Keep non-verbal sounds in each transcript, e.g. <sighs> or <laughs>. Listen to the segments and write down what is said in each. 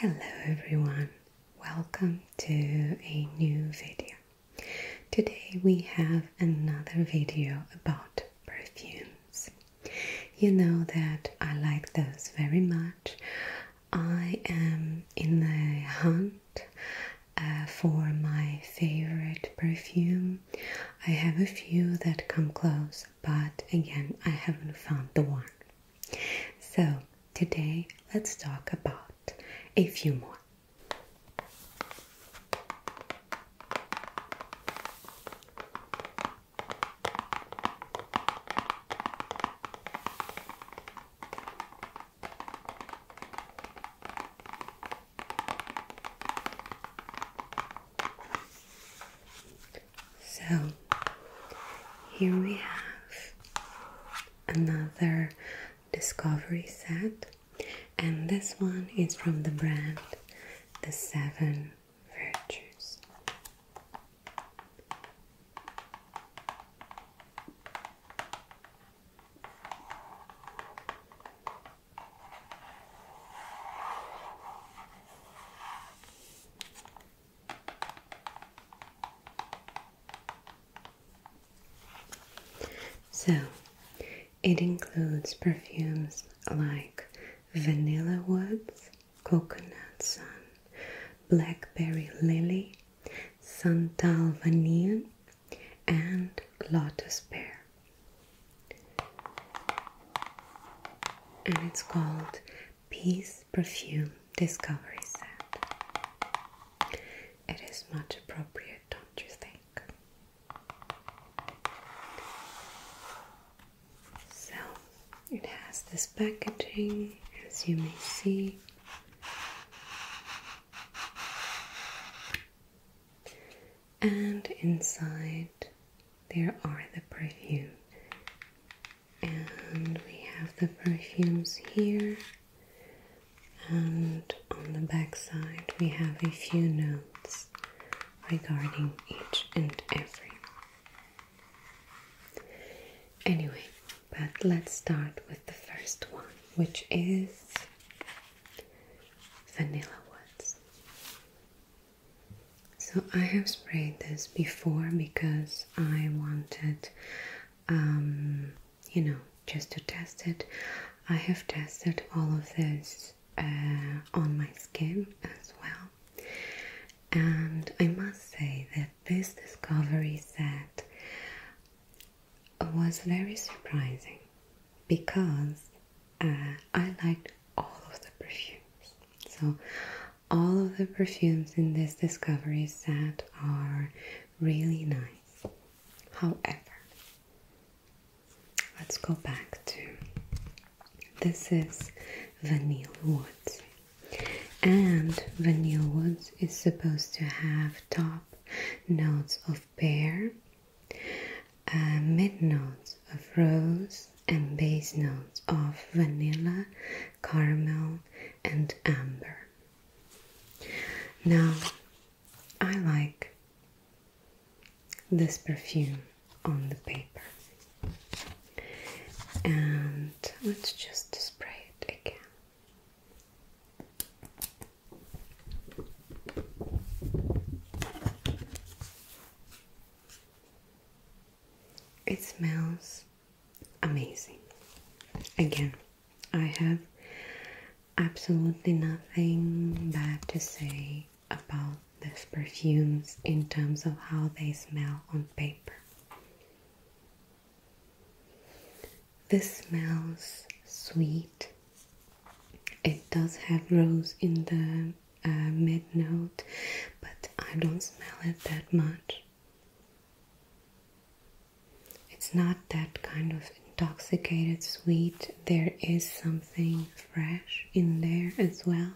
Hello everyone, welcome to a new video. Today we have another video about perfumes. You know that I like those very much. I am in the hunt uh, for my favorite perfume. I have a few that come close, but again, I haven't found the one. So, today let's talk about a few more. So here we have another discovery set, and this one is from the brand The Seven Virtues. So, it includes perfumes like Vanilla Woods, Coconut Sun, Blackberry Lily, santal vanille, and lotus pear. And it's called Peace Perfume Discovery Set. It is much appropriate, don't you think? So it has this packaging, as you may see, and inside there are the perfume. And we have the perfumes here. And on the backside, we have a few notes regarding each and every. Anyway, but let's start with the first one, which is Vanilla Woods. So I have sprayed this before because I wanted, um, you know, just to test it. I have tested all of this uh, on my skin as well, and I must say that this discovery set was very surprising because uh, I liked all of the perfumes. So, all of the perfumes in this discovery set are really nice. However, let's go back to this is Vanille Woods, and Vanille Woods notes is supposed to have top notes of pear, uh, mid notes of rose, and base notes of vanilla, caramel, and amber. Now, I like this perfume on the paper, and let's just spray it again. It smells amazing. Again, I have absolutely nothing bad to say about these perfumes in terms of how they smell on paper. This smells sweet. It does have rose in the uh, mid note, but I don't smell it that much. It's not that kind of intoxicated sweet, there is something fresh in there as well.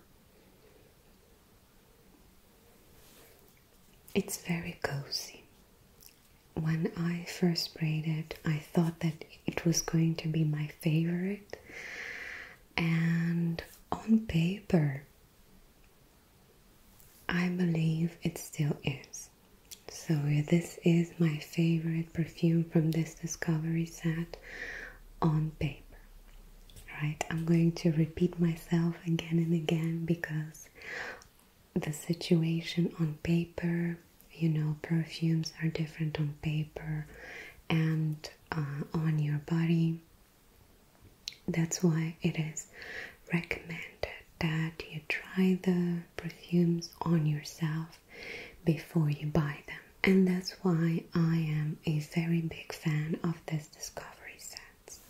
It's very cozy when I first sprayed it, I thought that it was going to be my favorite, and on paper, I believe it still is. So, this is my favorite perfume from this discovery set on paper. Right, I'm going to repeat myself again and again because the situation on paper. You know, perfumes are different on paper and uh, on your body. That's why it is recommended that you try the perfumes on yourself before you buy them. And that's why I am a very big fan of these discovery sets.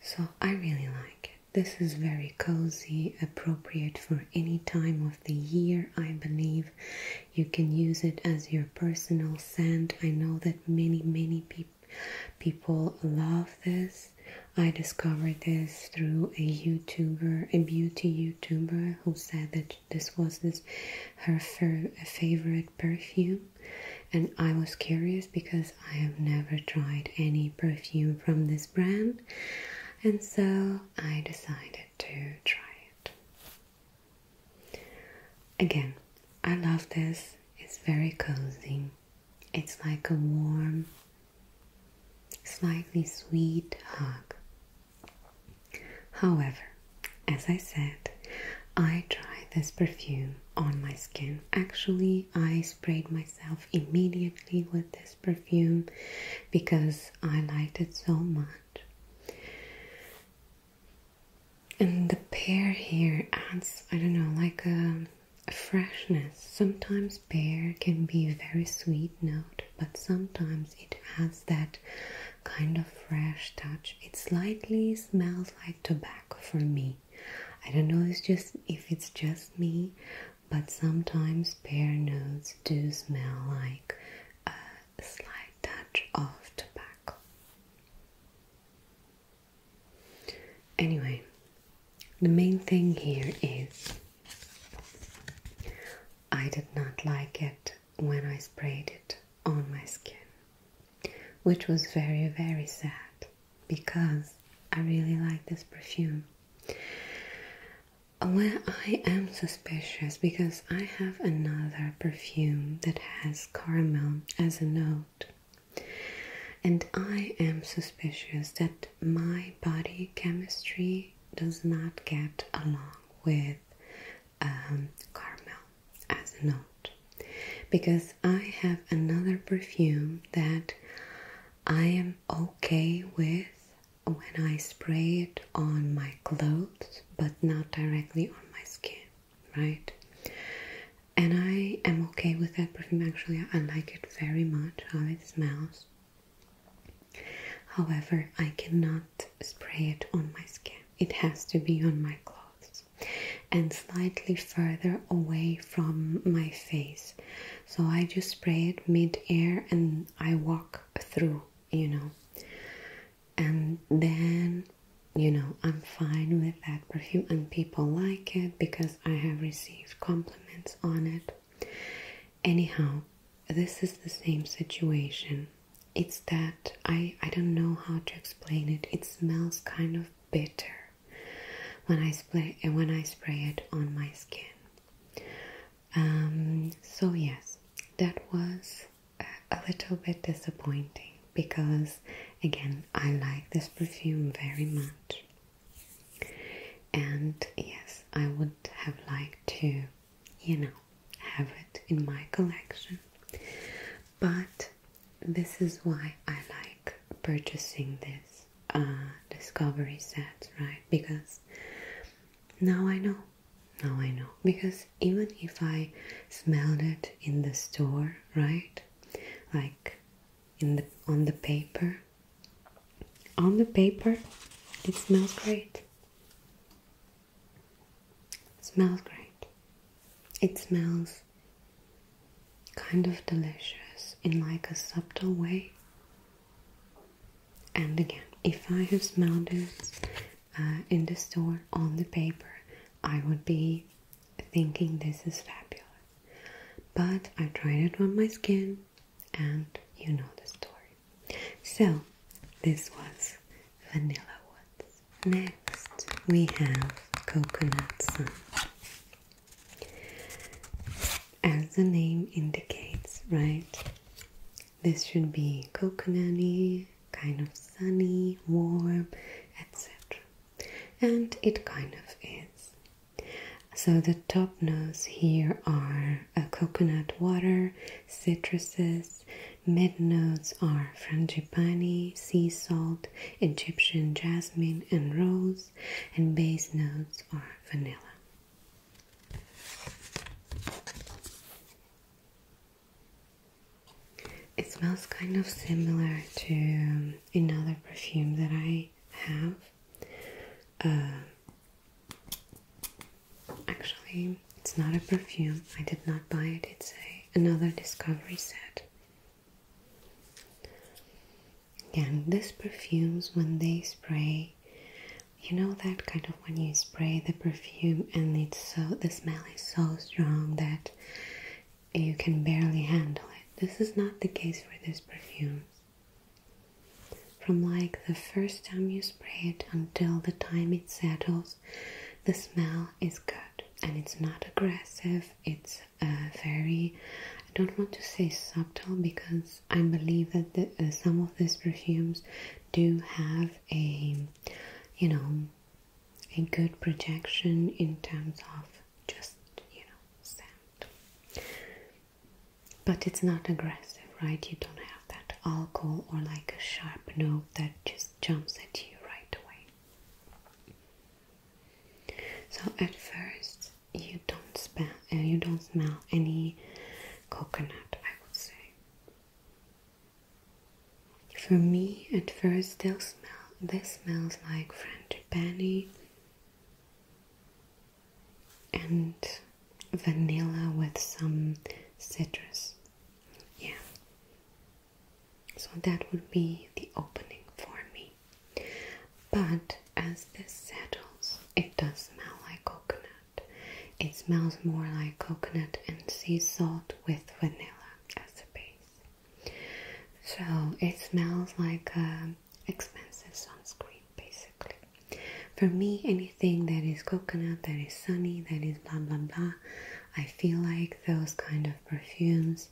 So I really like it. This is very cozy, appropriate for any time of the year, I believe. You can use it as your personal scent. I know that many, many people People love this. I discovered this through a YouTuber, a beauty YouTuber, who said that this was this her favorite perfume and I was curious because I have never tried any perfume from this brand and so I decided to try it. Again, I love this. It's very cozy. It's like a warm, slightly sweet hug. However, as I said, I tried this perfume on my skin actually I sprayed myself immediately with this perfume because I liked it so much. And the pear here adds, I don't know, like a, freshness. Sometimes pear can be a very sweet note, but sometimes it has that kind of fresh touch. It slightly smells like tobacco for me. I don't know it's just if it's just me, but sometimes pear notes do smell like a slight touch of tobacco. Anyway, the main thing here is I did not like it when I sprayed it on my skin which was very, very sad because I really like this perfume. Well, I am suspicious because I have another perfume that has caramel as a note, and I am suspicious that my body chemistry does not get along with um, caramel as a note because I have another perfume that I am okay with when I spray it on my clothes but not directly on my skin, right? And I am okay with that perfume actually, I like it very much how it smells. However, I cannot spray it on my skin, it has to be on my clothes and slightly further away from my face. So I just spray it mid-air and I walk through, you know. And then, you know, I'm fine with that perfume and people like it because I have received compliments on it. Anyhow, this is the same situation. It's that I I don't know how to explain it. It smells kind of bitter when I spray when I spray it on my skin. Um, so yes, that was a little bit disappointing because again I like this perfume very much. And yes, I would have liked to, you know, have it in my collection. But this is why I like purchasing this uh, discovery set, right? Because now I know, now I know. Because even if I smelled it in the store, right? Like in the on the paper, on the paper, it smells great. It smells great. It smells kind of delicious in like a subtle way. And again, if I have smelled it uh, in the store on the paper, I would be thinking this is fabulous. But I tried it on my skin, and you know the story. So, this was Vanilla Woods. Next, we have Coconut Sun. As the name indicates, right? This should be coconutty, kind of sunny, warm, etc. And it kind of is. So the top notes here are a coconut water, citruses, mid notes are frangipani, sea salt, Egyptian jasmine and rose, and base notes are vanilla. It smells kind of similar to another perfume that I have. Uh, actually, it's not a perfume. I did not buy it. It's a, another discovery set. Again, these perfumes, when they spray, you know that kind of when you spray the perfume and it's so the smell is so strong that you can barely handle it. This is not the case for this perfume. From like the first time you spray it until the time it settles, the smell is good and it's not aggressive, it's uh, very, I don't want to say subtle because I believe that uh, some of these perfumes do have a, you know, a good projection in terms of just, you know, scent. But it's not aggressive, right? You don't have that alcohol or like a sharp note that just jumps at you right away. So at first you don't smell, uh, you don't smell any coconut. I would say. For me, at first, they'll smell. This smells like French penny and vanilla with some citrus. Yeah. So that would be the opening for me. But as this settles, it does smell like coconut. It smells more like coconut and sea salt with vanilla as a base. So it smells like um, expensive sunscreen basically. For me, anything that is coconut, that is sunny, that is blah blah blah, I feel like those kind of perfumes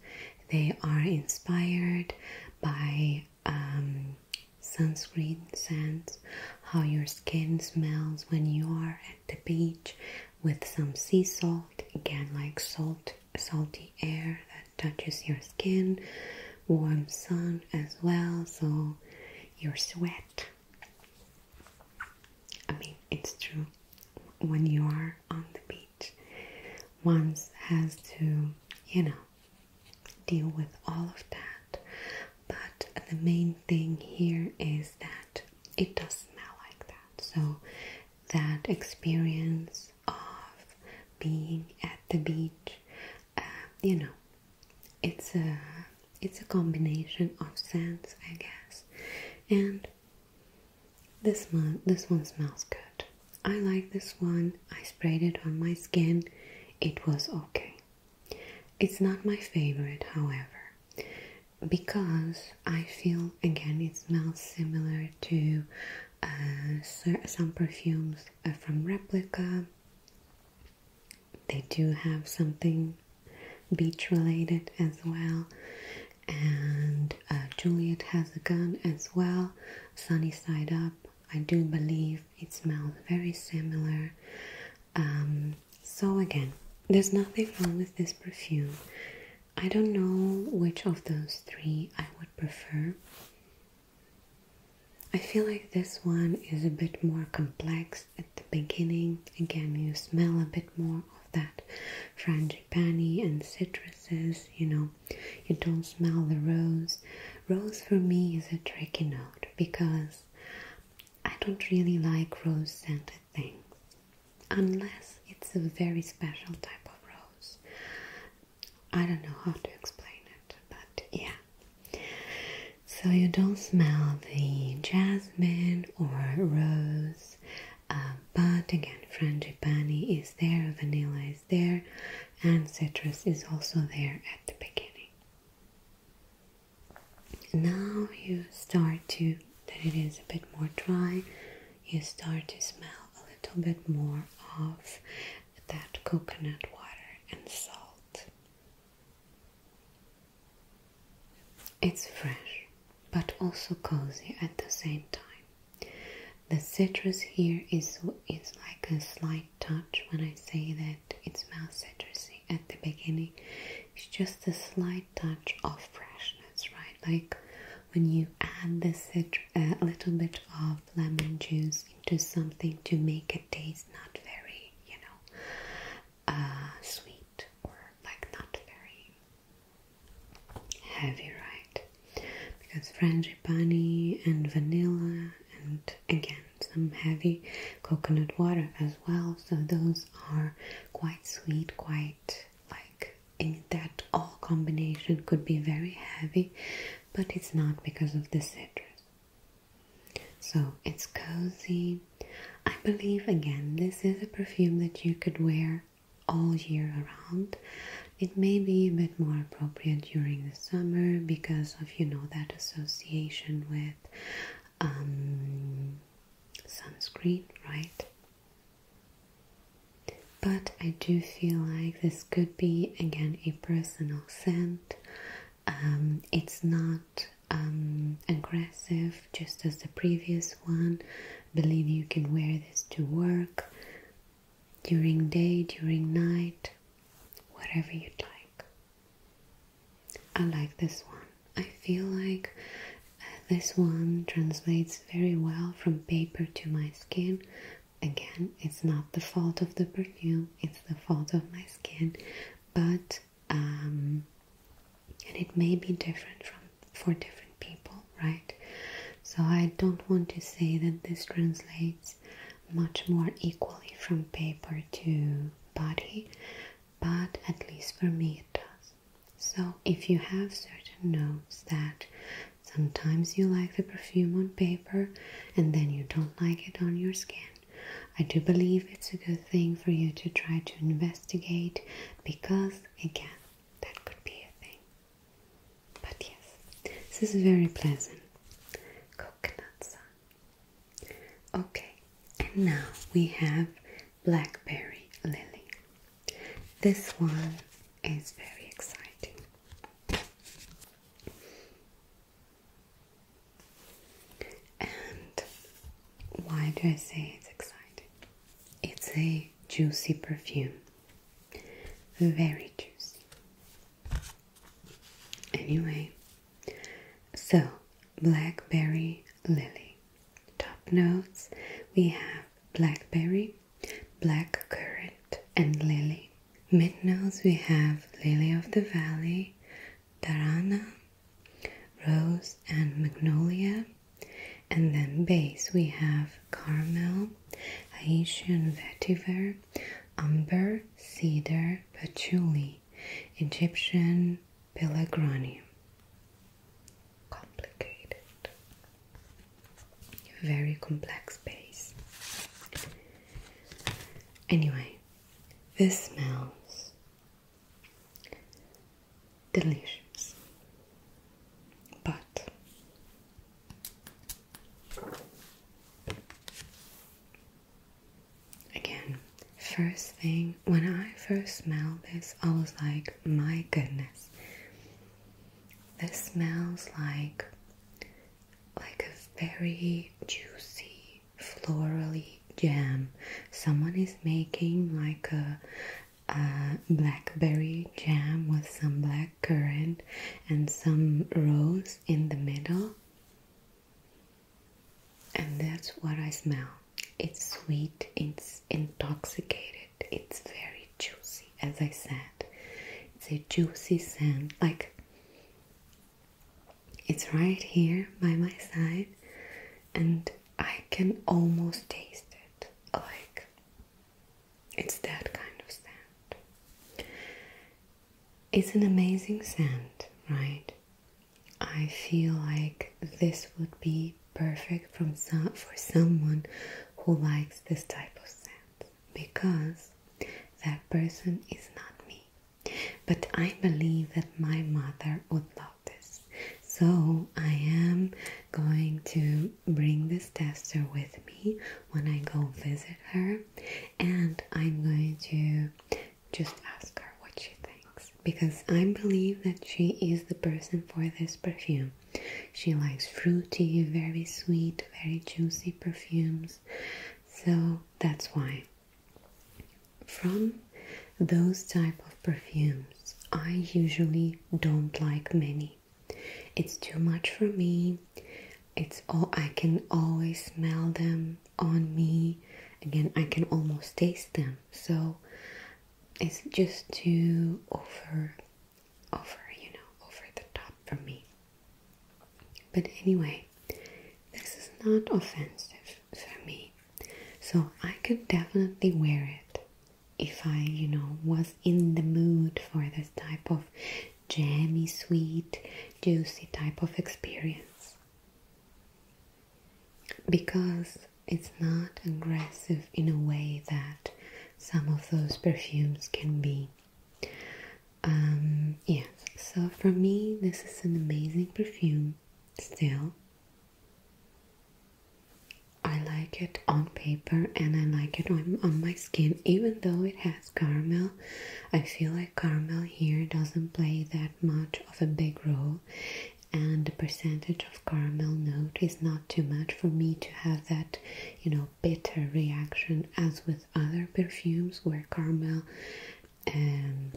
they are inspired by um, sunscreen scents, how your skin smells when you are at the beach with some sea salt, again, like salt, salty air that touches your skin, warm sun as well, so your sweat. I mean, it's true when you are on the beach once has to, you know, deal with all of that. But the main thing here is that it does smell like that. So that experience of being at the beach, um, you know, it's a it's a combination of scents, I guess, and this one, this one smells good. I like this one. I sprayed it on my skin. It was okay. It's not my favorite, however, because I feel again it smells similar to uh, some perfumes uh, from Replica. They do have something beach related as well, and uh, Juliet has a gun as well sunny side up. I do believe it smells very similar. Um, so, again, there's nothing wrong with this perfume. I don't know which of those three I would prefer. I feel like this one is a bit more complex at the beginning. Again, you smell a bit more of that frangipani and citruses, you know, you don't smell the rose. Rose for me is a tricky note because I don't really like rose scented things unless it's a very special type of rose. I don't know how to explain it, but yeah. So you don't smell the jasmine or rose, uh, but again, frangipani is there, vanilla there, and citrus is also there at the beginning. Now you start to, that it is a bit more dry, you start to smell a little bit more of that coconut water and salt. It's fresh, but also cozy at the same time. The citrus here is is like a slight touch when I say that it smells citrusy at the beginning. It's just a slight touch of freshness, right? Like when you add the citrus, a little bit of lemon juice into something to make it taste not very, you know, uh, sweet or like not very heavy, right? Because frangipani and vanilla, and again some heavy coconut water as well. So those are quite sweet, quite like in that all combination could be very heavy, but it's not because of the citrus. So it's cozy. I believe again, this is a perfume that you could wear all year around. It may be a bit more appropriate during the summer because of you know that association with um, sunscreen, right? But I do feel like this could be again a personal scent. Um, it's not um, aggressive, just as the previous one. Believe you can wear this to work during day, during night, whatever you'd like. I like this one. I feel like uh, this one translates very well from paper to my skin. Again, it's not the fault of the perfume, it's the fault of my skin, but um, and it may be different for different people right? So I don't want to say that this translates much more equally from paper to body, but at least for me it does. So if you have certain notes that sometimes you like the perfume on paper and then you don't like it on your skin, I do believe it's a good thing for you to try to investigate because, again, that could be a thing. But yes, this is very pleasant. Coconut sun. Okay, and now we have blackberry lily. This one is very exciting. And why do I say it's exciting? It's a juicy perfume very juicy. Anyway, so blackberry lily. Top notes we have blackberry, black currant, and lily. Mid notes we have lily of the valley, tarana, rose, and magnolia. And then base we have caramel, Haitian vetiver, amber, cedar, patchouli, Egyptian pelargonium. Complicated. Very complex base. Anyway, this smells delicious. But Again, first thing, when I first smelled this, I was like, my goodness. This smells like like a very juicy, florally jam. Someone is making like a, a blackberry jam with some black black currant and some rose in the middle. And that's what I smell. It's sweet, it's intoxicated, it's very juicy, as I said. It's a juicy scent, like it's right here by my side, and I can almost taste it. Like it's that kind of sand. It's an amazing sand, right? I feel like this would be perfect for someone who likes this type of sand because that person is not me. But I believe that my mother would love this. So I am going to bring this tester with me when I go visit her, and I'm going to just ask her what she thinks because I believe that she is the person for this perfume. She likes fruity, very sweet, very juicy perfumes, so that's why. From those type of perfumes, I usually don't like many. It's too much for me. It's all I can always smell them on me. Again, I can almost taste them. So it's just too over over, you know, over the top for me. But anyway, this is not offensive for me. So I could definitely wear it if I, you know, was in the mood for this type of jammy, sweet, juicy type of experience because it's not aggressive in a way that some of those perfumes can be. Um, yes, so for me, this is an amazing perfume still. I like it on paper and I like it on my skin, even though it has Caramel. I feel like caramel here doesn't play that much of a big role, and the percentage of caramel note is not too much for me to have that, you know, bitter reaction as with other perfumes where caramel um,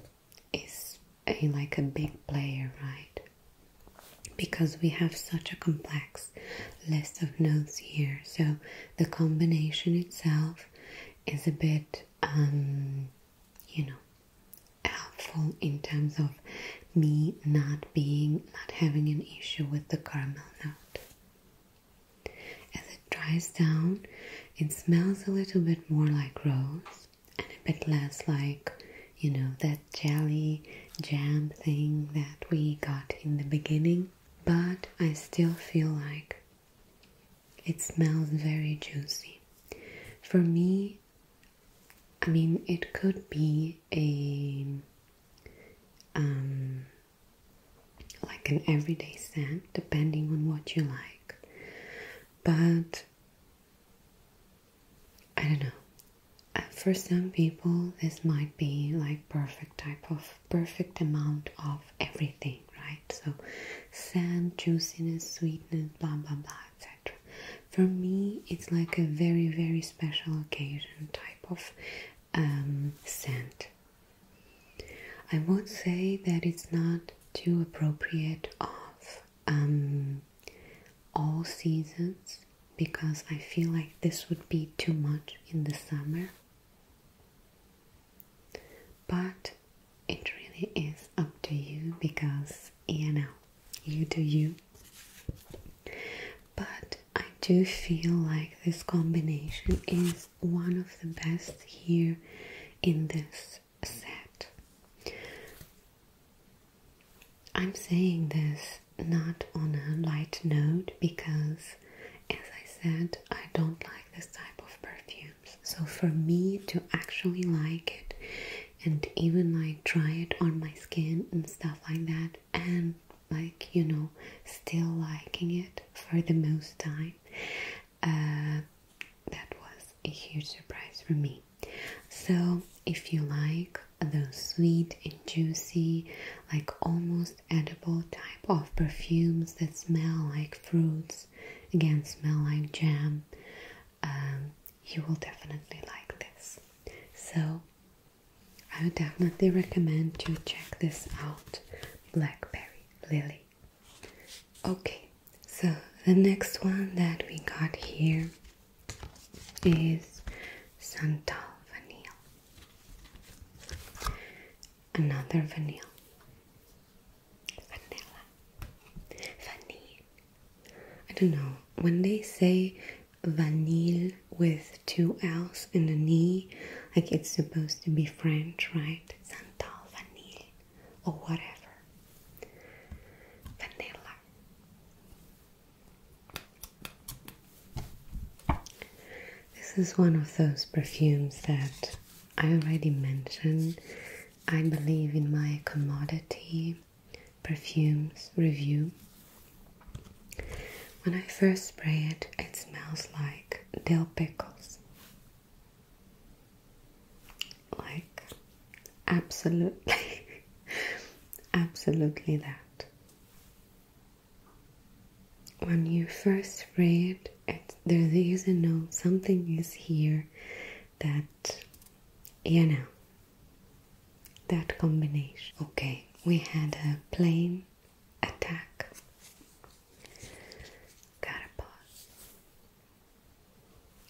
is like a big player, right? Because we have such a complex six list of notes here. So the combination itself is a bit, um, you know, helpful in terms of me not being, not having an issue with the caramel note. As it dries down, it smells a little bit more like rose and a bit less like, you know, that jelly jam thing that we got in the beginning but I still feel like it smells very juicy. For me, I mean, it could be a um, like an everyday scent, depending on what you like. But I don't know. Uh, for some people, this might be like perfect type of perfect amount of everything, right? So sand, juiciness, sweetness, blah blah blah, etc. For me, it's like a very very special occasion type of um, scent. I would say that it's not too appropriate of um, all seasons because I feel like this would be too much in the summer but it really is up to you because you know, you do you. But I do feel like this combination is one of the best here in this set. I'm saying this not on a light note because as I said, I don't like this type of perfumes, so for me to actually like it and even like try it on my skin and stuff like that, and like you know, still liking it for the most time, uh, that was a huge surprise for me. So, if you like those sweet and juicy, like almost most edible type of perfumes that smell like fruits, again, smell like jam, um, you will definitely like this. So, I would definitely recommend you check this out Blackberry Lily. Okay, so the next one that we got here is Santal Vanille another vanilla. Vanilla. Vanille. I don't know. When they say vanille with two L's and an E, like it's supposed to be French, right? Santal vanille or whatever. Vanilla. This is one of those perfumes that I already mentioned. I believe in my commodity perfumes review. When I first spray it, it smells like dill pickles. Like, absolutely, <laughs> absolutely that. When you first read it, there's is a note, something is here that, you know, that combination. Okay, we had a plane attack, got a pause.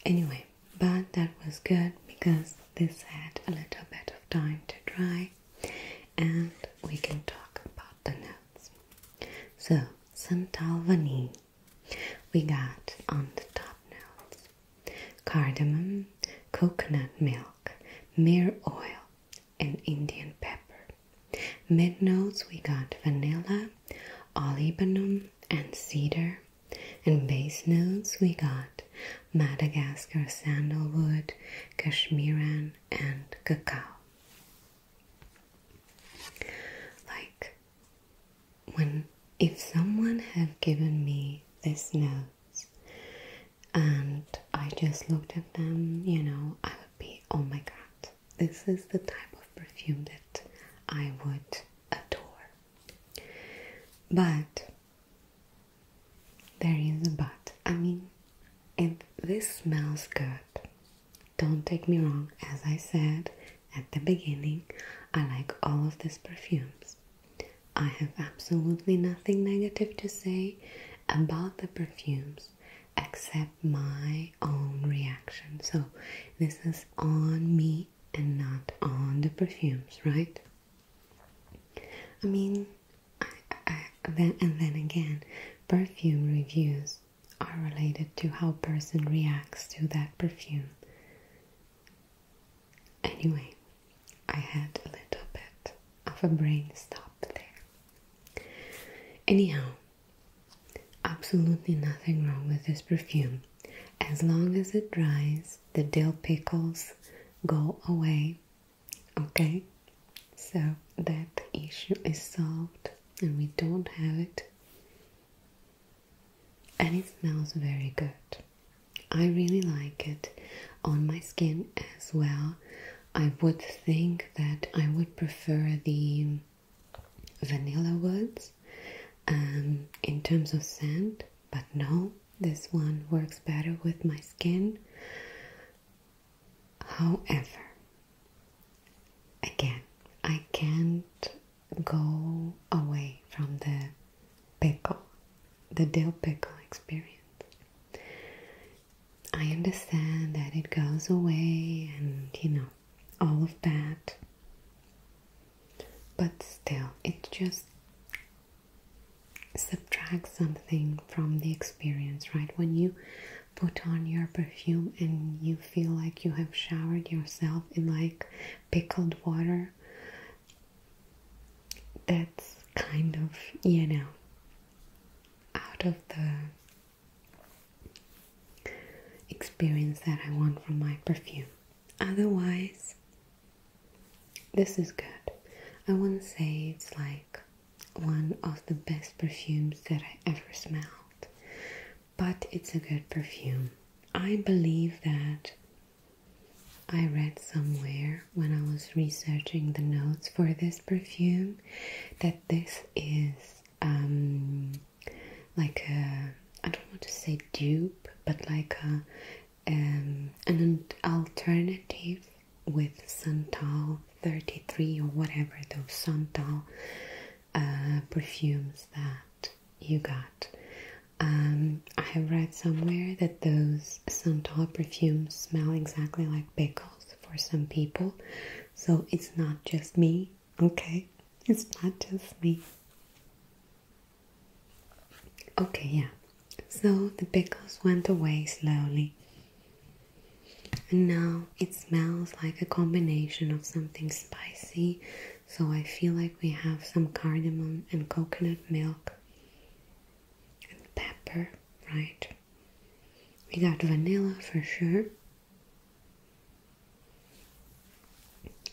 Anyway, but that was good because this had a little bit of time to dry and we can talk about coconuts. So some tall We got on the top notes cardamom, coconut milk, mere oil, and Indian pepper. Mid notes we got vanilla, olibanum, and cedar. And base notes we got Madagascar sandalwood, Kashmiran, and cacao. Like when if someone had given me this notes, and I just looked at them, you know, I would be oh my god, this is the type of perfume that I would adore. But there is a but. I mean, and this smells good. Don't take me wrong, as I said at the beginning, I like all of these perfumes. I have absolutely nothing negative to say about the perfumes except my own reaction. So, this is on me and not on the perfumes, right? I mean, and then again, perfume reviews are related to how person reacts to that perfume. Anyway, I had a little bit of a brain stop there. Anyhow, absolutely nothing wrong with this perfume. As long as it dries, the dill pickles go away Okay, so that issue is solved and we don't have it. And it smells very good. I really like it on my skin as well. I would think that I would prefer the vanilla woods um, in terms of scent, but no, this one works better with my skin. However, again, I can't go away from the pickle, the dill pickle experience. I understand that it goes away and you know, all of that, but still, it just subtracts something from the experience, right? When you put on your perfume and you feel like you have showered yourself in like pickled water that's kind of you know out of the experience that I want from my perfume otherwise this is good I wouldn't say it's like one of the best perfumes that I ever smelled, but it's a good perfume. I believe that I read somewhere when I was researching the notes for this perfume that this is um, like a I don't want to say dupe, but like a um, an alternative with Santal 33 or whatever those Santal uh, perfumes that you got. Um, I have read somewhere that those Santal perfumes smell exactly like pickles for some people, so it's not just me, okay? It's not just me. Okay, yeah. So the pickles went away slowly. And now it smells like a combination of something spicy, so I feel like we have some cardamom and coconut milk and pepper, right? We got vanilla for sure.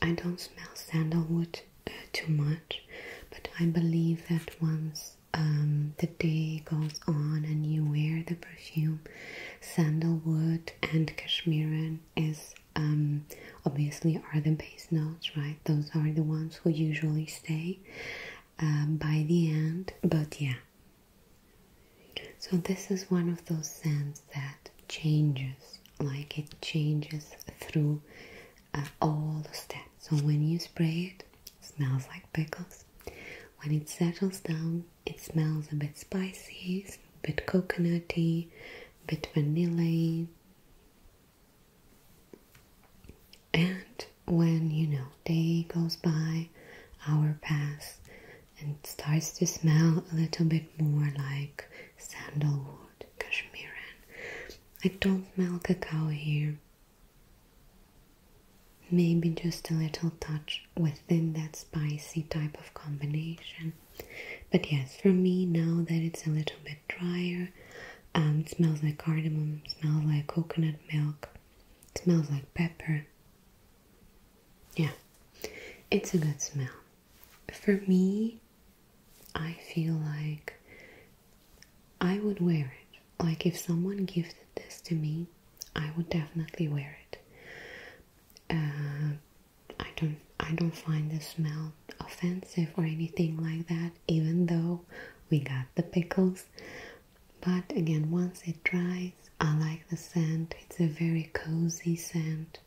I don't smell sandalwood uh, too much, but I believe that once um, the day goes on and you wear the perfume, sandalwood and cashmere is um, obviously are the base notes, right? Those are the ones who usually stay um, by the end. But yeah, so this is one of those scents that changes, like it changes through uh, all the steps. So when you spray it smells like pickles. When it settles down, it smells a bit spicy, a bit coconutty, a bit vanilla. And when you know day goes by, hour pass, and starts to smell a little bit more like sandalwood, cashmere. I don't smell cacao here. Maybe just a little touch within that spicy type of combination. But yes, for me, now that it's a little bit drier, um, it smells like cardamom, smells like coconut milk, smells like pepper. Yeah, it's a good smell. For me, I feel like I would wear it. Like, if someone gifted this to me, I would definitely wear it. Uh, I don't, I don't find the smell offensive or anything like that. Even though we got the pickles, but again, once it dries, I like the scent. It's a very cozy scent.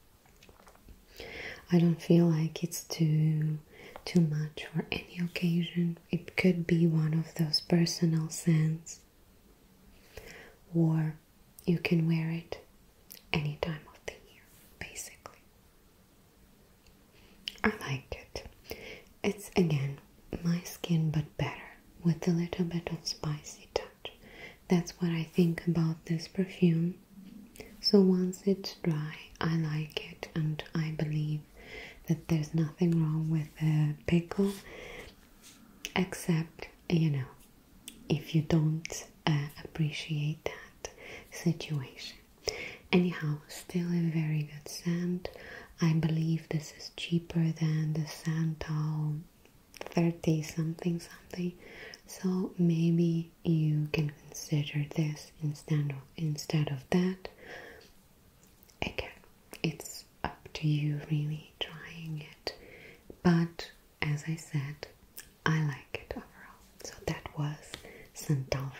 I don't feel like it's too too much for any occasion. It could be one of those personal scents or you can wear it any time of the year, basically. I like it. It's again my skin, but better with a little bit of spicy touch. That's what I think about this perfume. So once it's dry, I like it, and I believe that there's nothing wrong with a pickle except you know if you don't uh, appreciate that situation anyhow still a very good scent i believe this is cheaper than the santal 30 something something so maybe you can consider this instead of instead of that again it's up to you really trying it. But as I said, I like it overall. So that was Santalvanille.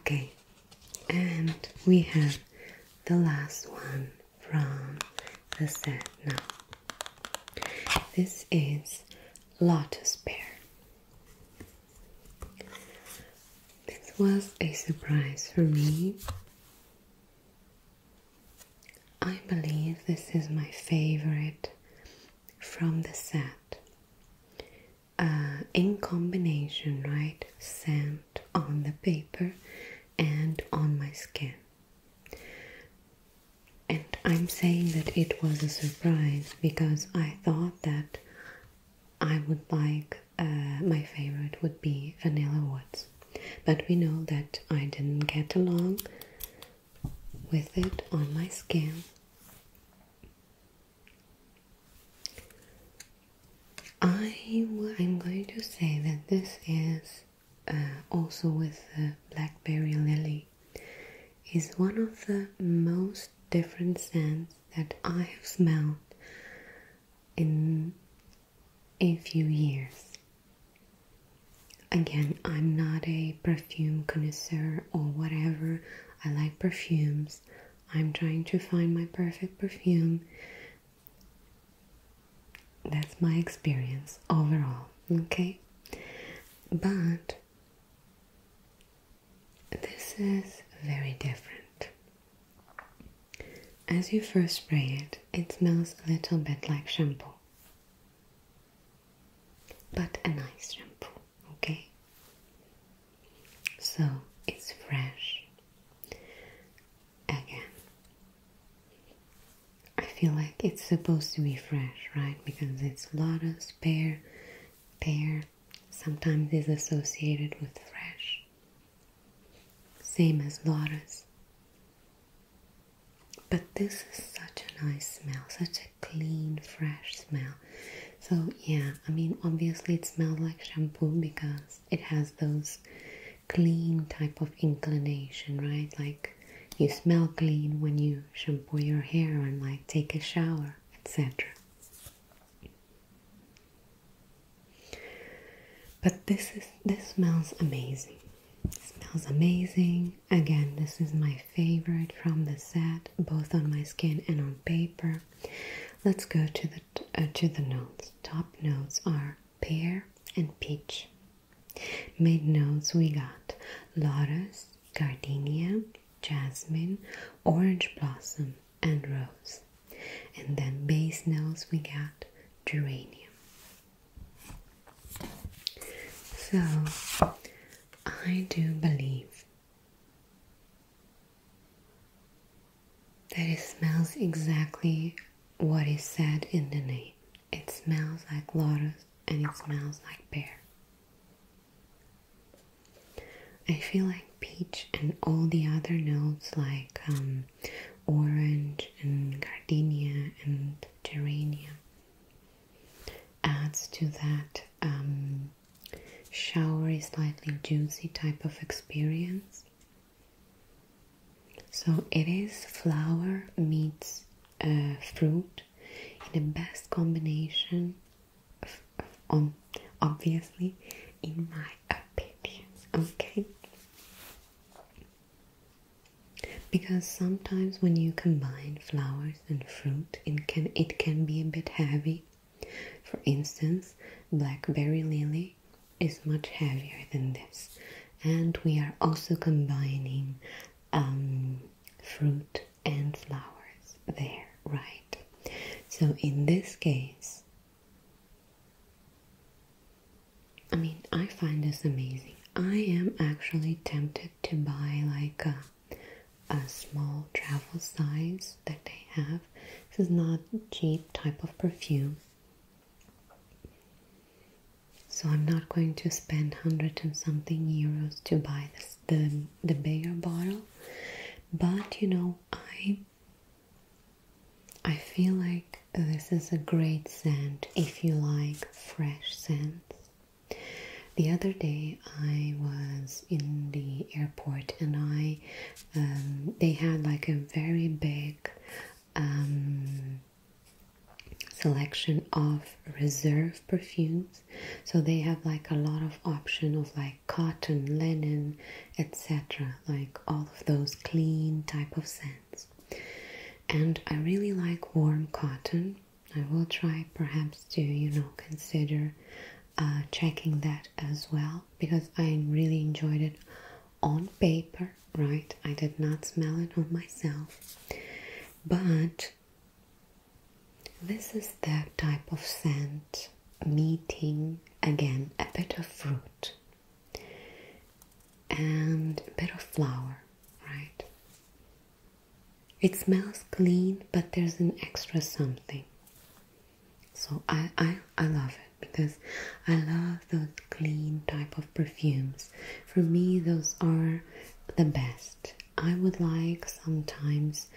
Okay, and we have the last one from the set now. This is Lotus Pear. This was a surprise for me. I believe this is my favorite from the set. Uh, in combination, right? Scent on the paper and on my skin. And I'm saying that it was a surprise because I thought that I would like uh, my favorite would be Vanilla Woods. But we know that I didn't get along with it on my skin. I I'm going to say that this is uh, also with the blackberry lily is one of the most different scents that I have smelled in a few years. Again, I'm not a perfume connoisseur or whatever. I like perfumes. I'm trying to find my perfect perfume. That's my experience overall, okay? But this is very different. As you first spray it, it smells a little bit like shampoo, but a nice shampoo, okay? So it's fresh. Again, I feel like it's supposed to be fresh, right? Because it's lotus, pear, pear. Sometimes is associated with fresh same as Laura's. But this is such a nice smell, such a clean, fresh smell. So, yeah, I mean, obviously, it smells like shampoo because it has those clean type of inclination, right? Like you smell clean when you shampoo your hair and like take a shower, etc. But this is this smells amazing. smells amazing. Again, this is my favorite from the set, both on my skin and on paper. Let's go to the uh, to the notes. Top notes are pear and peach. Mid notes we got lotus, gardenia, jasmine, orange blossom, and rose. And then base notes we got geranium. So I do believe that it smells exactly what is said in the name. It smells like lotus and it smells like pear. I feel like peach and all the other notes like um, orange and gardenia and geranium adds to that um, showery, slightly juicy type of experience. So it is flower meets uh, fruit in the best combination, of, um, obviously, in my opinion. Okay, because sometimes when you combine flowers and fruit, it can, it can be a bit heavy. For instance, blackberry lily is much heavier than this. And we are also combining um, fruit and flowers there, right? So in this case, I mean, I find this amazing. I am actually tempted to buy like a, a small travel size that they have. This is not cheap type of perfume. So I'm not going to spend hundred and something euros to buy the the bigger bottle. But you know, I I feel like this is a great scent if you like fresh scents. The other day I was in the airport and I um, they had like a very big um, selection of reserve perfumes. So they have like a lot of option of like cotton, linen, etc. Like all of those clean type of scents. And I really like warm cotton. I will try perhaps to, you know, consider uh, checking that as well because I really enjoyed it on paper, right? I did not smell it on myself, but this is that type of scent meeting again a bit of fruit and a bit of flour, right? It smells clean, but there's an extra something. So I, I, I love it because I love those clean type of perfumes. For me, those are the best. I would like sometimes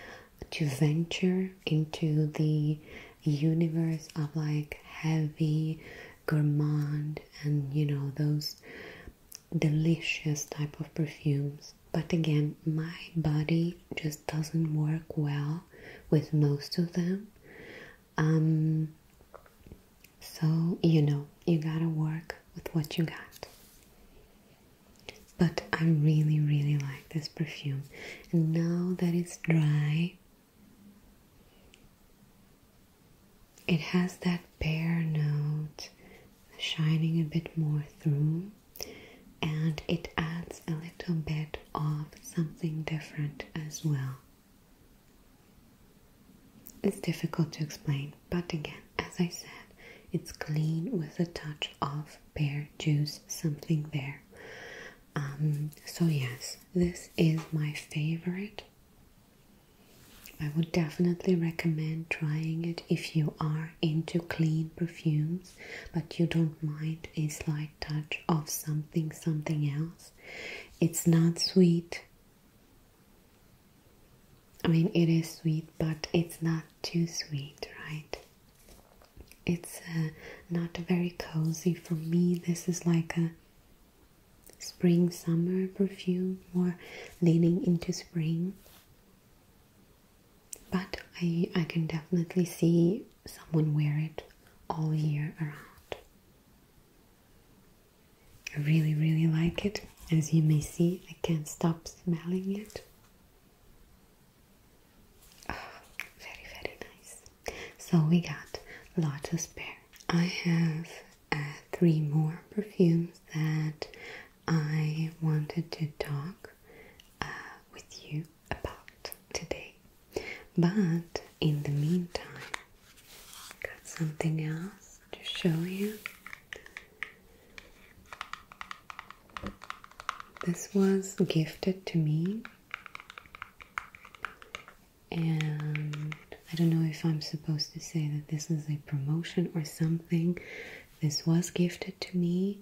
to venture into the universe of like heavy gourmand and you know those delicious type of perfumes but again my body just doesn't work well with most of them um so you know you gotta work with what you got but i really really like this perfume and now that it's dry it has that pear note shining a bit more through, and it adds a little bit of something different as well. It's difficult to explain, but again, as I said, it's clean with a touch of pear juice, something there. Um, so, yes, this is my favorite I would definitely recommend trying it if you are into clean perfumes but you don't mind a slight touch of something something else. It's not sweet. I mean it is sweet but it's not too sweet, right? It's uh, not very cozy for me. This is like a spring summer perfume or leaning into spring but I, I can definitely see someone wear it all year around I really really like it as you may see I can't stop smelling it ah, very very nice so we got a lot spare. I have uh, three more perfumes that I wanted to talk uh, with you about today. But in the meantime, got something else to show you. This was gifted to me and I don't know if I'm supposed to say that this is a promotion or something. This was gifted to me,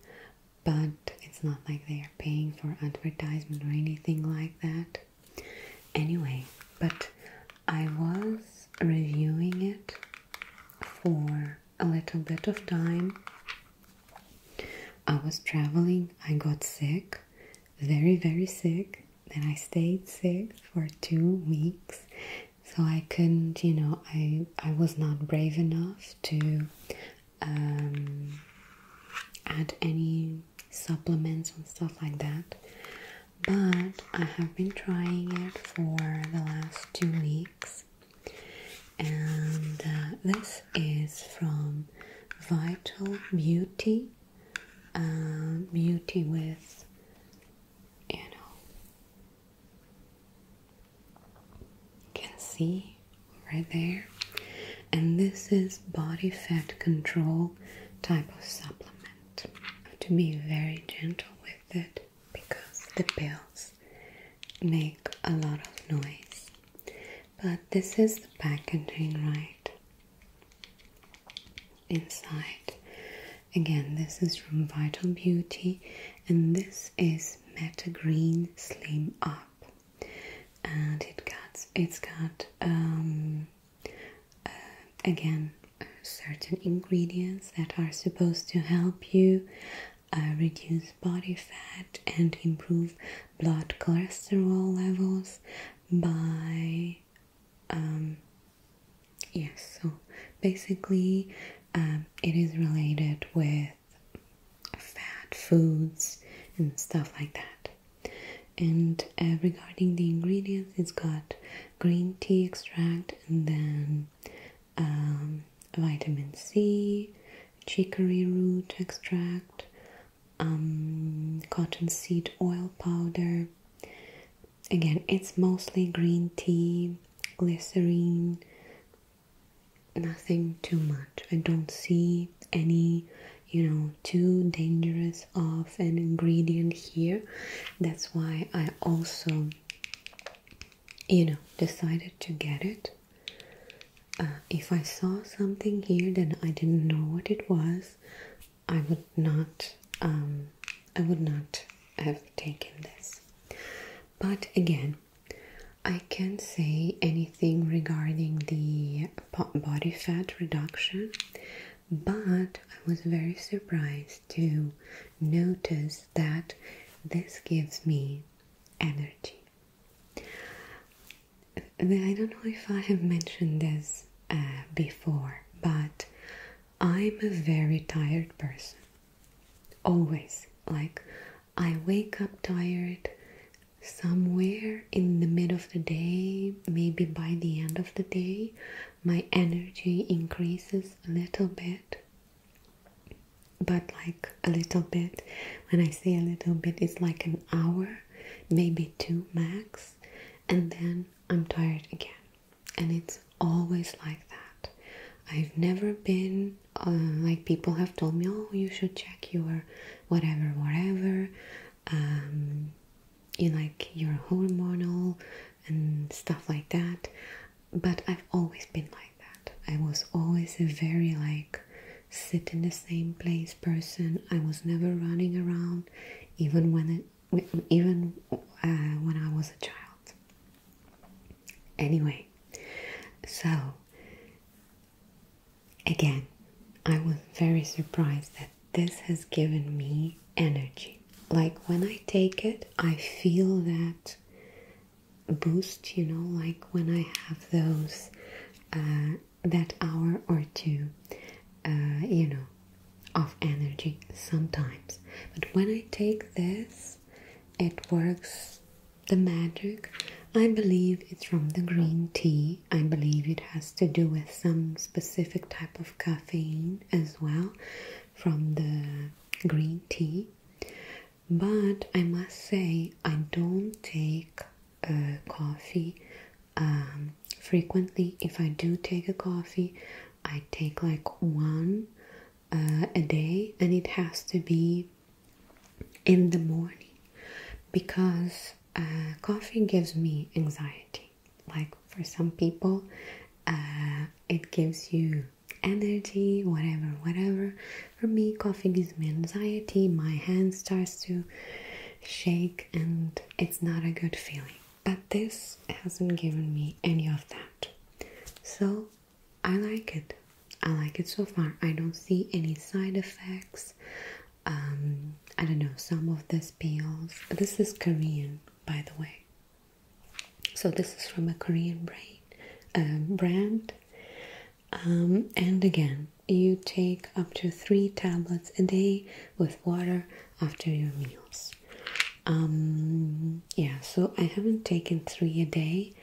but it's not like they are paying for advertisement or anything like that. Anyway, but I was reviewing it for a little bit of time. I was traveling, I got sick, very, very sick, then I stayed sick for two weeks. So I couldn't, you know, I I was not brave enough to um, add any supplements and stuff like that. But I have been trying it for the last two weeks, and uh, this is from Vital Beauty uh, beauty with, you know, can see right there. And this is body fat control type of supplement. To be very gentle with it because the pills make a lot of noise. But this is the packaging, right? inside. Again, this is from Vital Beauty, and this is Meta Green Slim Up, and it got it's got um, uh, again uh, certain ingredients that are supposed to help you uh, reduce body fat and improve blood cholesterol levels by um, yes, so basically, um, it is related with fat foods and stuff like that. And uh, regarding the ingredients, it's got green tea extract and then um, vitamin C, chicory root extract, um, cottonseed oil powder. Again, it's mostly green tea, glycerine, nothing too much. I don't see any, you know, too dangerous of an ingredient here. That's why I also, you know, decided to get it. Uh, if I saw something here that I didn't know what it was, I would not um, I would not have taken this. But again, I can't say anything regarding the body fat reduction, but I was very surprised to notice that this gives me energy. I don't know if I have mentioned this uh, before, but I'm a very tired person. Always. Like, I wake up tired somewhere in the middle of the day, maybe by the end of the day, my energy increases a little bit. But, like, a little bit, when I say a little bit, it's like an hour, maybe two max, and then I'm tired again. And it's always like that. I've never been uh, like people have told me, oh, you should check your whatever, whatever, um, you like your hormonal and stuff like that. But I've always been like that. I was always a very like sit in the same place person. I was never running around, even when even uh, when I was a child. Anyway, so again, I was very surprised that this has given me energy. Like when I take it, I feel that boost, you know, like when I have those uh, that hour or two, uh, you know, of energy sometimes. But when I take this, it works the magic. I believe it's from the green tea. I believe it has to do with some specific type of caffeine as well from the green tea. But I must say, I don't take uh, coffee um, frequently if I do take a coffee, I take like one uh, a day and it has to be in the morning because uh, coffee gives me anxiety. Like for some people, uh, it gives you energy, whatever, whatever. For me, coffee gives me anxiety, my hand starts to shake, and it's not a good feeling but this hasn't given me any of that. So I like it. I like it so far. I don't see any side effects. Um, I don't know, some of these pills. This is Korean, by the way. So this is from a Korean brand. Um, brand. Um, and again, you take up to three tablets a day with water after your meals. Um, yeah, so I haven't taken three a day,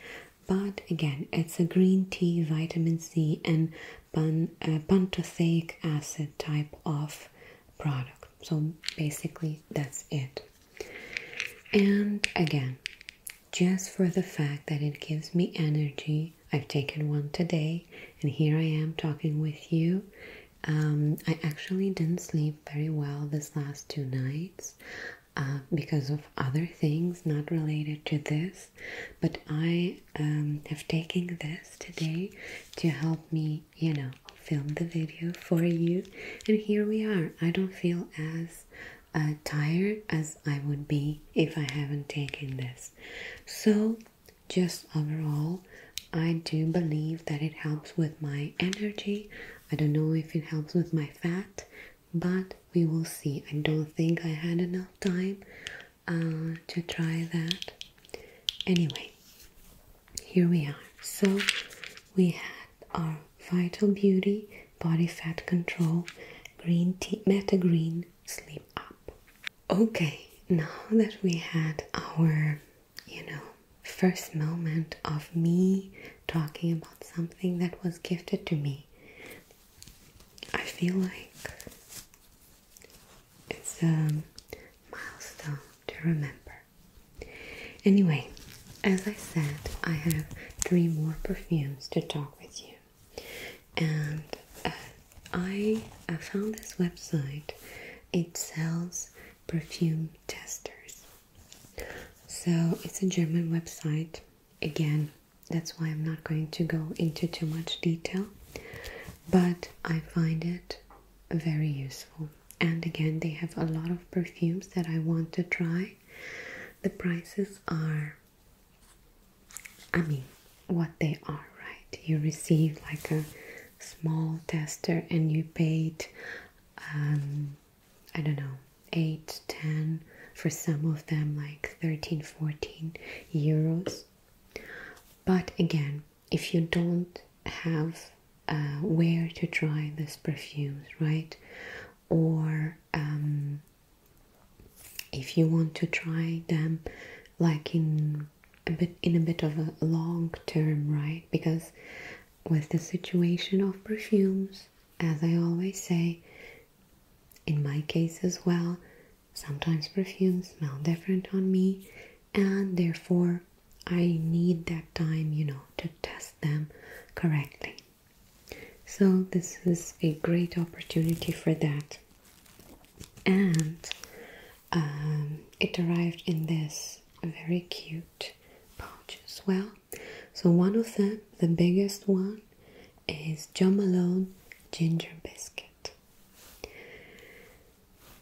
but again, it's a green tea, vitamin C, and pan, uh, acid type of product. So basically, that's it. And again, just for the fact that it gives me energy, I've taken one today, and here I am talking with you. Um, I actually didn't sleep very well this last two nights uh, because of other things not related to this, but I um, have taken this today to help me, you know, film the video for you. And here we are. I don't feel as uh, tired as I would be if I haven't taken this. So just overall, I do believe that it helps with my energy. I don't know if it helps with my fat, but we will see. I don't think I had enough time uh, to try that. Anyway, here we are. So we had our Vital Beauty Body Fat Control Green Tea Meta Green Sleep Up. Okay, now that we had our, you know, first moment of me talking about something that was gifted to me, I feel like it's a milestone to remember. Anyway, as I said, I have three more perfumes to talk with you, and uh, I, found this website. It sells perfume testers. So it's a German website. Again, that's why I'm not going to go into too much detail. But I find it very useful. And again, they have a lot of perfumes that I want to try. The prices are, I mean, what they are, right? You receive like a small tester and you paid, um, I don't know, eight, ten for some of them like thirteen, fourteen euros. But again, if you don't have uh, where to try these perfumes, right? Or um, if you want to try them like in a bit in a bit of a long term, right? Because with the situation of perfumes, as I always say, in my case as well, sometimes perfumes smell different on me, and therefore I need that time, you know, to test them correctly. So, this is a great opportunity for that. And um, it arrived in this very cute pouch as well. So one of them, the biggest one, is John Malone Ginger Biscuit.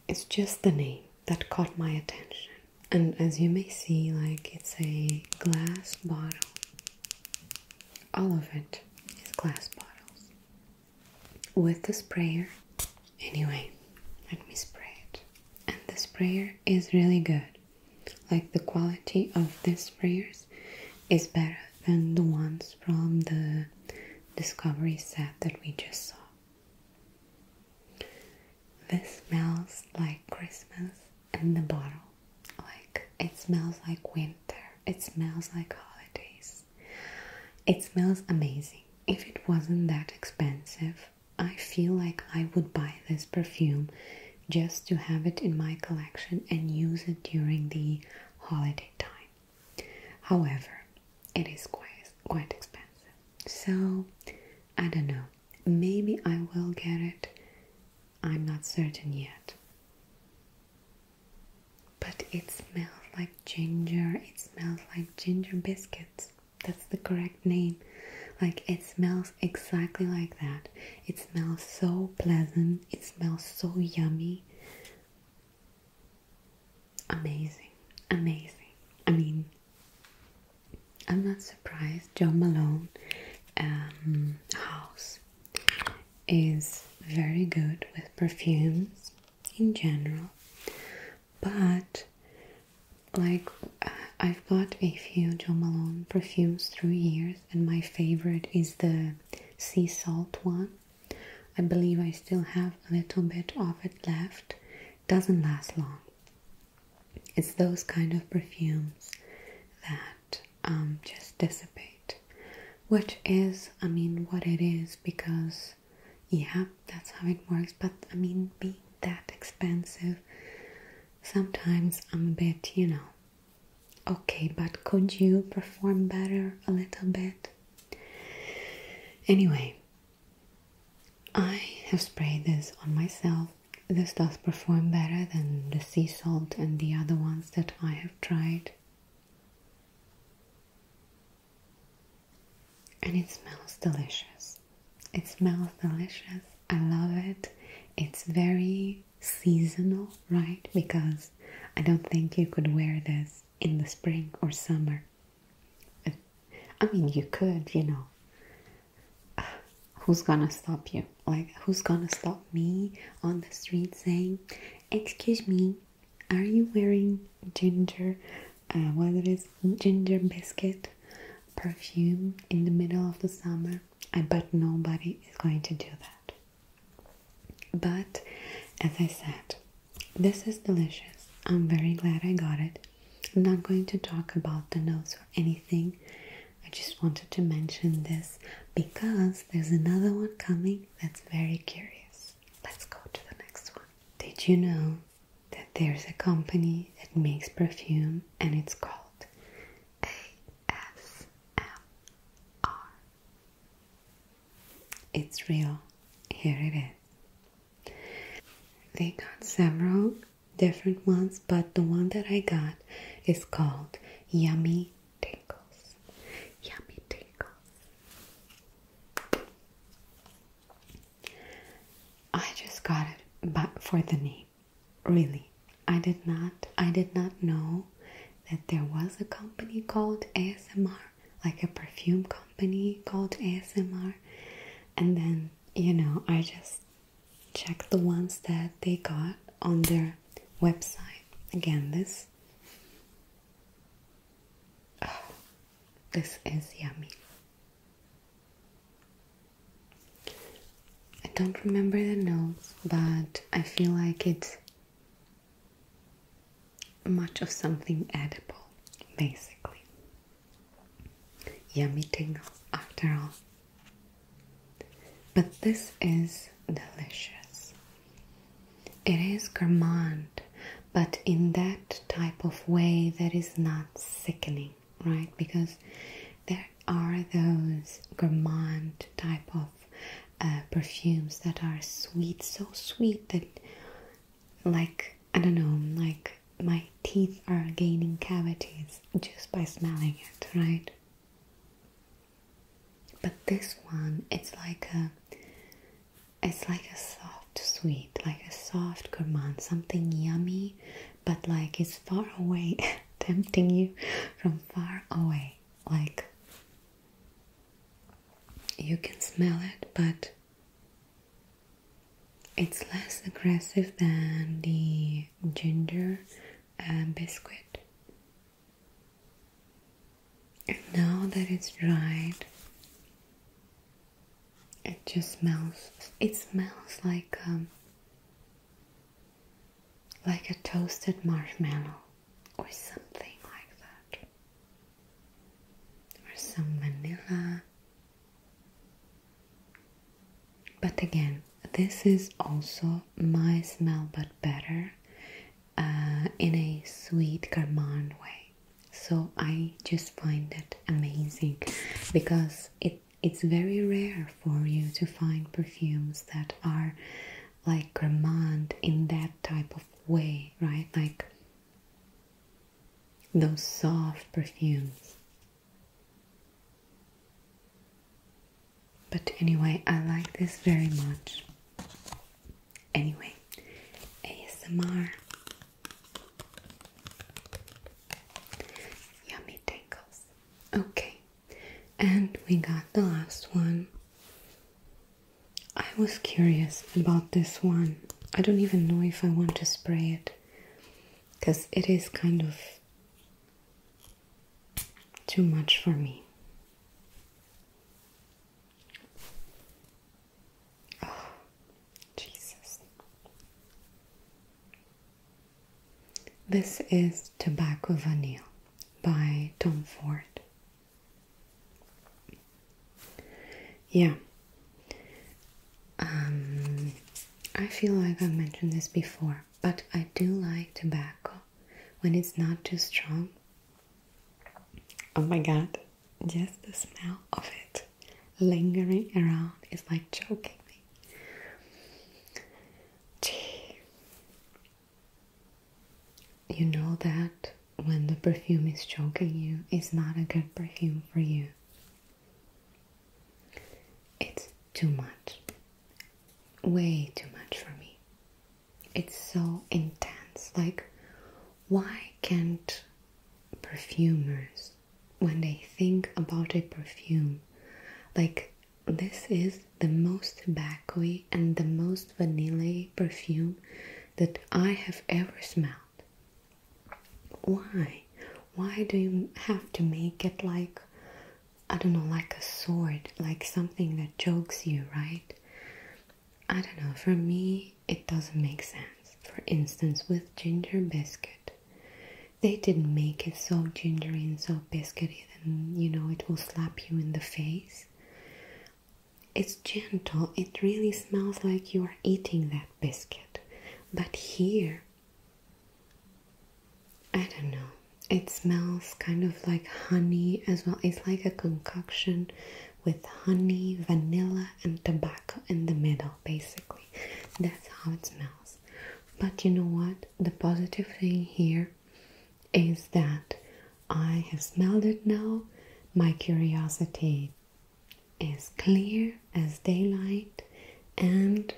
It's just the name that caught my attention. And as you may see, like it's a glass bottle. All of it is glass bottles with the sprayer. Anyway, let me spray it. And the sprayer is really good. Like the quality of this sprayers is better than the ones from the Discovery set that we just saw. This smells like Christmas in the bottle. Like it smells like winter. It smells like holidays. It smells amazing. If it wasn't that expensive, I feel like I would buy this perfume just to have it in my collection and use it during the holiday time. However, it is quite expensive. So, I don't know. Maybe I will get it. I'm not certain yet but it smells like ginger. It smells like ginger biscuits. That's the correct name. Like it smells exactly like that. It smells so pleasant. It smells so yummy. Amazing. Amazing. I mean, I'm not surprised. Joe Malone um, house is very good with perfumes in general. But like uh, I've bought a few Jo Malone perfumes through years, and my favorite is the sea salt one. I believe I still have a little bit of it left. Doesn't last long. It's those kind of perfumes that um, just dissipate, which is, I mean, what it is because yeah, that's how it works. But I mean, being that expensive, sometimes I'm a bit, you know, okay, but could you perform better a little bit? Anyway, I have sprayed this on myself. This does perform better than the sea salt and the other ones that I have tried and it smells delicious. It smells delicious. I love it. It's very seasonal, right? Because I don't think you could wear this in the spring or summer. I mean, you could, you know. <sighs> who's gonna stop you? Like, who's gonna stop me on the street saying, Excuse me, are you wearing ginger, uh, whether it's ginger biscuit perfume in the middle of the summer? I bet nobody is going to do that. But as I said, this is delicious. I'm very glad I got it. I'm not going to talk about the notes or anything. I just wanted to mention this because there's another one coming that's very curious. Let's go to the next one. Did you know that there's a company that makes perfume and it's called ASMR. It's real. Here it is. They got several different ones, but the one that I got is called Yummy Tingles. Yummy Tingles. I just got it but for the name. Really. I did not I did not know that there was a company called ASMR, like a perfume company called ASMR. And then, you know, I just checked the ones that they got on their website. Again, this this is yummy. I don't remember the notes, but I feel like it's much of something edible, basically. Yummy tingles, after all. But this is delicious. It is gourmand, but in that type of way that is not sickening, right? Because there are those gourmand type of uh, perfumes that are sweet, so sweet that, like, I don't know, like my teeth are gaining cavities just by smelling it, right? But this one, it's like a it's like a soft sweet, like a soft gourmand, something yummy, but like it's far away, <laughs> tempting you from far away. Like you can smell it, but it's less aggressive than the ginger uh, biscuit. And now that it's dried, it just smells. It smells like um, like a toasted marshmallow or something like that, or some vanilla. But again, this is also my smell, but better uh, in a sweet gourmand way so i just find that amazing because it it's very rare for you to find perfumes that are like gourmand in that type of way right like those soft perfumes but anyway i like this very much anyway asmr Yummy tangles. Okay, and we got the last one. I was curious about this one. I don't even know if I want to spray it because it is kind of too much for me. <sighs> Jesus. This is Tobacco Vanilla by Tom Ford. Yeah. Um, I feel like I've mentioned this before, but I do like tobacco when it's not too strong. Oh my god just the smell of it lingering around is like choking me. You know that when the perfume is choking you, it's not a good perfume for you. It's too much. Way too much for me. It's so intense. Like, why can't perfumers when they think about a perfume like this is the most tobaccoy and the most vanilla perfume that I have ever smelled. Why? Why do you have to make it like I don't know, like a sword, like something that chokes you, right? I don't know. For me, it doesn't make sense. For instance, with ginger biscuit, they didn't make it so gingery and so biscuity that you know it will slap you in the face. It's gentle, it really smells like you are eating that biscuit. But here, I don't know. It smells kind of like honey as well. It's like a concoction with honey, vanilla, and tobacco in the middle, basically. That's how it smells. But you know what? The positive thing here is that I have smelled it now. My curiosity is clear as daylight, and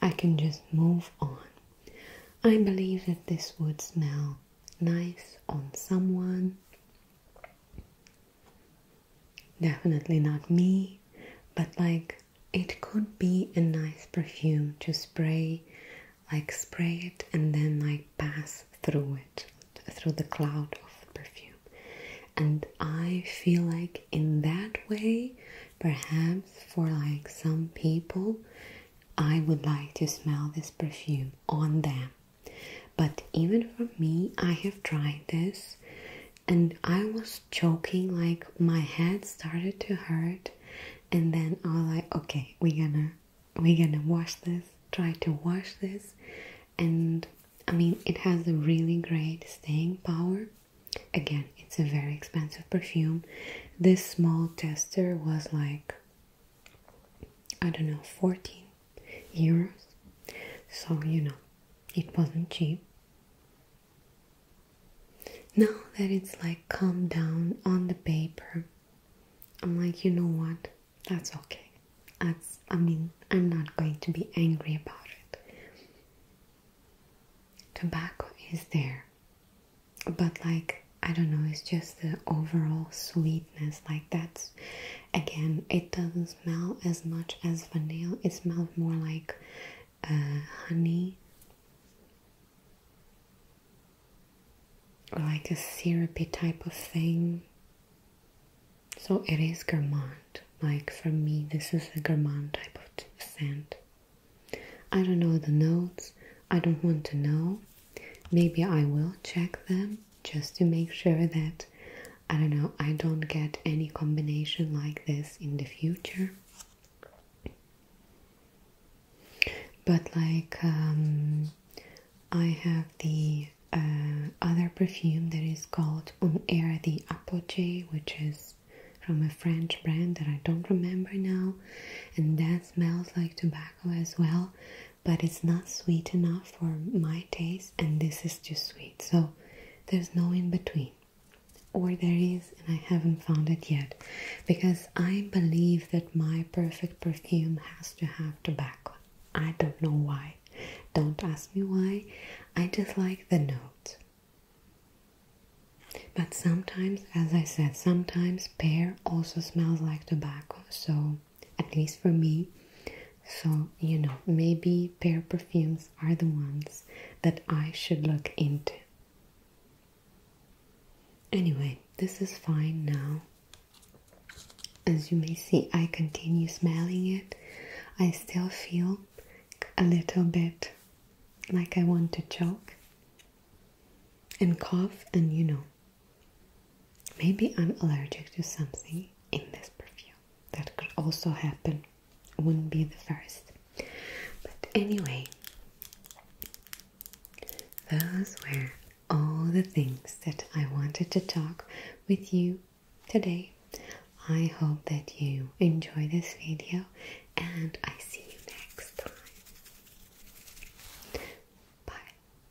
I can just move on. I believe that this would smell nice on someone. Definitely not me, but like it could be a nice perfume to spray, like spray it and then like pass through it, through the cloud of perfume. And I feel like in that way, perhaps for like some people, I would like to smell this perfume on them. But even for me, I have tried this and I was choking, like my head started to hurt. And then I was like, okay, we're gonna, we're gonna wash this, try to wash this. And I mean, it has a really great staying power. Again, it's a very expensive perfume. This small tester was like, I don't know, 14 euros. So, you know, it wasn't cheap. Now that it's like come down on the paper, I'm like, you know what? That's okay. That's, I mean, I'm not going to be angry about it. Tobacco is there, but like, I don't know, it's just the overall sweetness, like that's again it doesn't smell as much as vanilla it smells more like uh, honey like a syrupy type of thing so it is gourmand like for me this is a gourmand type of scent i don't know the notes i don't want to know maybe i will check them just to make sure that I don't know, I don't get any combination like this in the future. But like, um, I have the uh, other perfume that is called On Air the Apogee, which is from a French brand that I don't remember now, and that smells like tobacco as well, but it's not sweet enough for my taste, and this is too sweet. So there's no in between. Or there is, and I haven't found it yet. Because I believe that my perfect perfume has to have tobacco. I don't know why. Don't ask me why. I just like the note. But sometimes, as I said, sometimes pear also smells like tobacco. So at least for me. So, you know, maybe pear perfumes are the ones that I should look into. Anyway, this is fine now. As you may see, I continue smelling it. I still feel a little bit like I want to choke and cough, and you know, maybe I'm allergic to something in this perfume that could also happen. Wouldn't be the first. But anyway, those were all the things that I wanted to talk with you today. I hope that you enjoy this video and I see you next time. Bye.